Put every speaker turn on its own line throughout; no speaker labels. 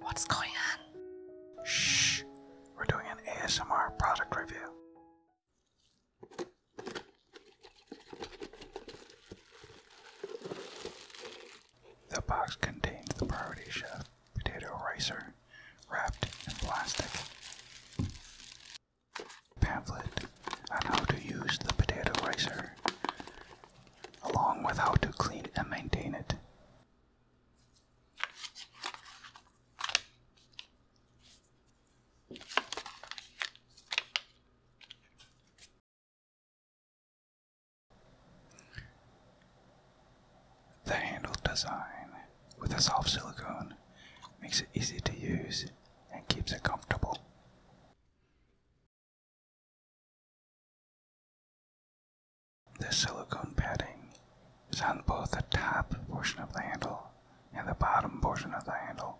What's going on? Shh, we're doing an ASMR product review. The box contains the Priority Chef potato ricer wrapped in plastic pamphlet on how to use the potato ricer, along with how to clean and maintain it. The handle design with a soft silicone makes it easy to use and keeps it comfortable. The silicone padding is on both the top portion of the handle and the bottom portion of the handle.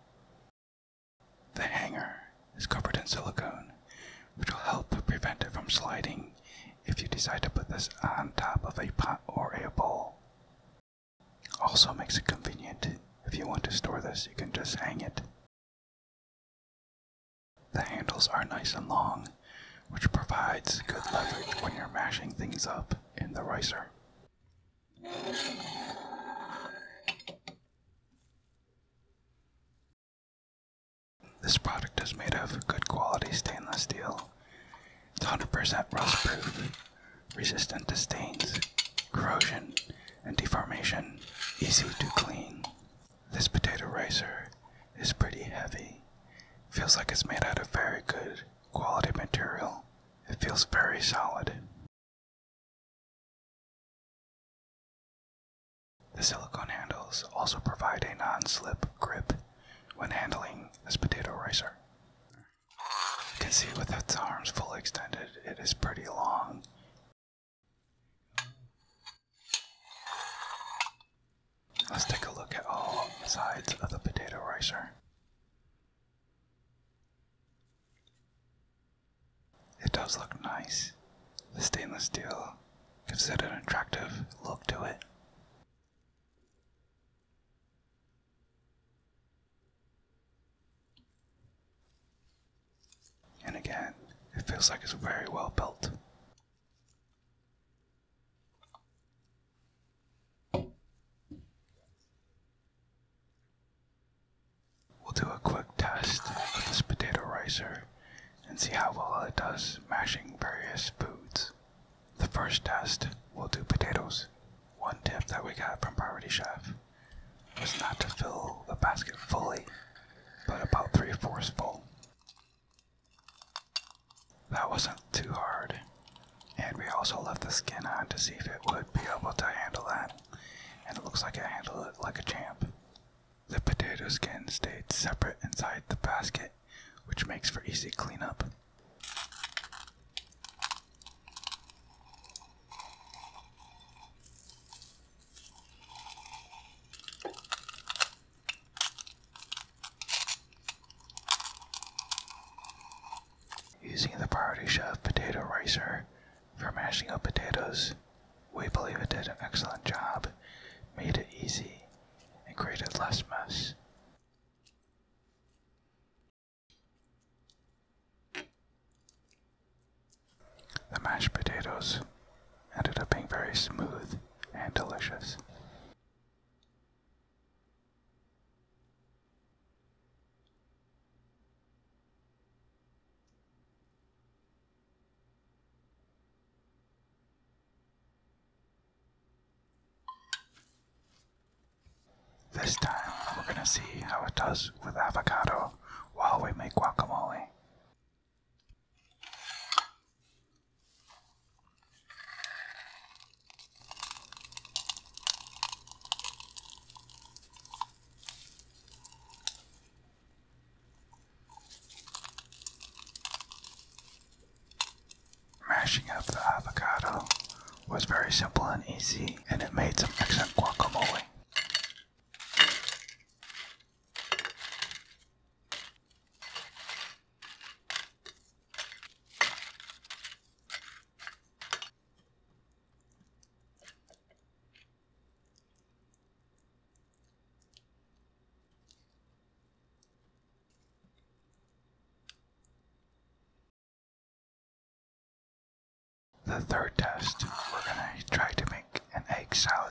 The hanger is covered in silicone, which will help prevent it from sliding if you decide to put this on top of a pot or a bowl. Also makes it convenient. If you want to store this, you can just hang it. The handles are nice and long, which provides good leverage when you're mashing things up in the ricer. This product is made of good quality stainless steel. It's 100% rust proof resistant to stains, corrosion, and deformation, easy to clean. This potato ricer is pretty heavy. Feels like it's made out of very good quality material. It feels very solid. The silicone handles also provide a non slip grip when handling this potato ricer. You can see with its arms fully extended, it is pretty long. Let's take a look at all sides of the potato ricer. It does look nice. The stainless steel gives it an attractive look to it. And again, it feels like it's very well built. We'll do a quick test of this potato ricer and see how well it does mashing various foods. The first test, will do potatoes. One tip that we got from Poverty Chef was not to fill the basket fully, but about three fourths full. That wasn't too hard, and we also left the skin on to see if it would be able to handle that, and it looks like it handled it like a champ. The potato skin stayed separate inside the basket, which makes for easy cleanup. Using the Priority Chef potato ricer for mashing up potatoes, we believe it did an excellent job, made it easy, and created less mess. The mashed potatoes ended up being very smooth and delicious. This time, we're gonna see how it does with avocado while we make guacamole. Mashing up the avocado was very simple and easy, and it made some excellent guacamole. The third test, we're gonna try to make an egg salad.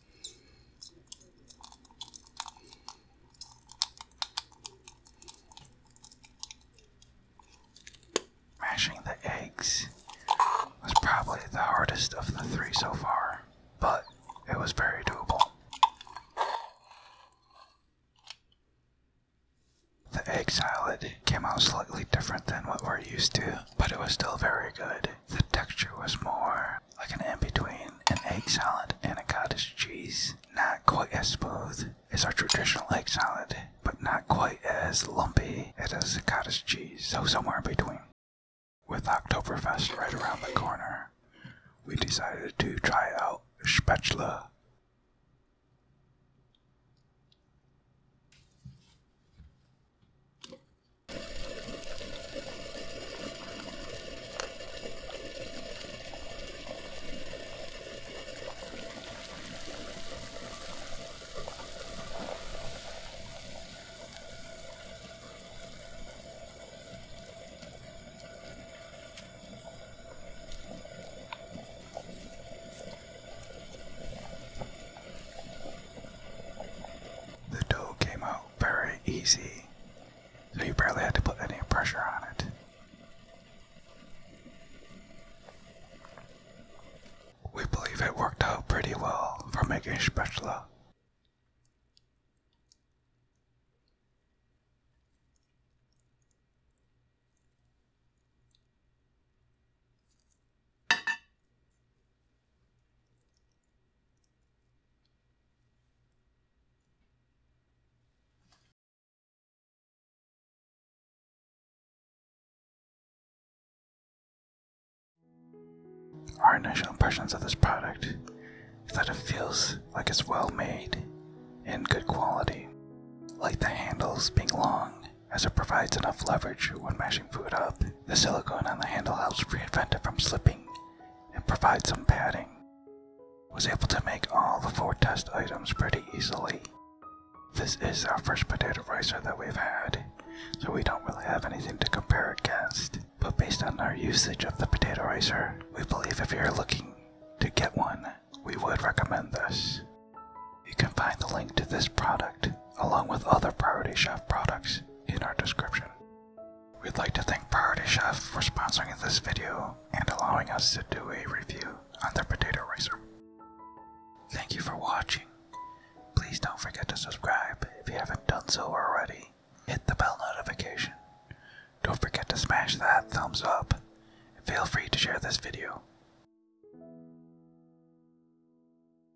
Mashing the eggs was probably the hardest of the three so far, but it was very doable. The egg salad came out slightly different than what we're used to, but it was still very good. The texture was more like an in between an egg salad and a cottage cheese. Not quite as smooth as our traditional egg salad, but not quite as lumpy as a cottage cheese, so somewhere in between. With Oktoberfest right around the corner, we decided to try out Spatula. The dough came out very easy. So you barely had to put any pressure on it. We believe it worked out pretty well for making spatula. Our initial impressions of this product is that it feels like it's well made and good quality, like the handles being long as it provides enough leverage when mashing food up, the silicone on the handle helps prevent it from slipping and provides some padding. Was able to make all the four test items pretty easily. This is our first potato ricer that we've had, so we don't really have anything to compare against. But based on our usage of the potato ricer, we believe if you're looking to get one, we would recommend this. You can find the link to this product along with other Priority Chef products in our description. We'd like to thank Priority Chef for sponsoring this video and allowing us to do a review on their potato ricer. Thank you for watching. Please don't forget to subscribe if you haven't done so already. Hit the bell notification. Don't forget to smash that thumbs up. Feel free to share this video.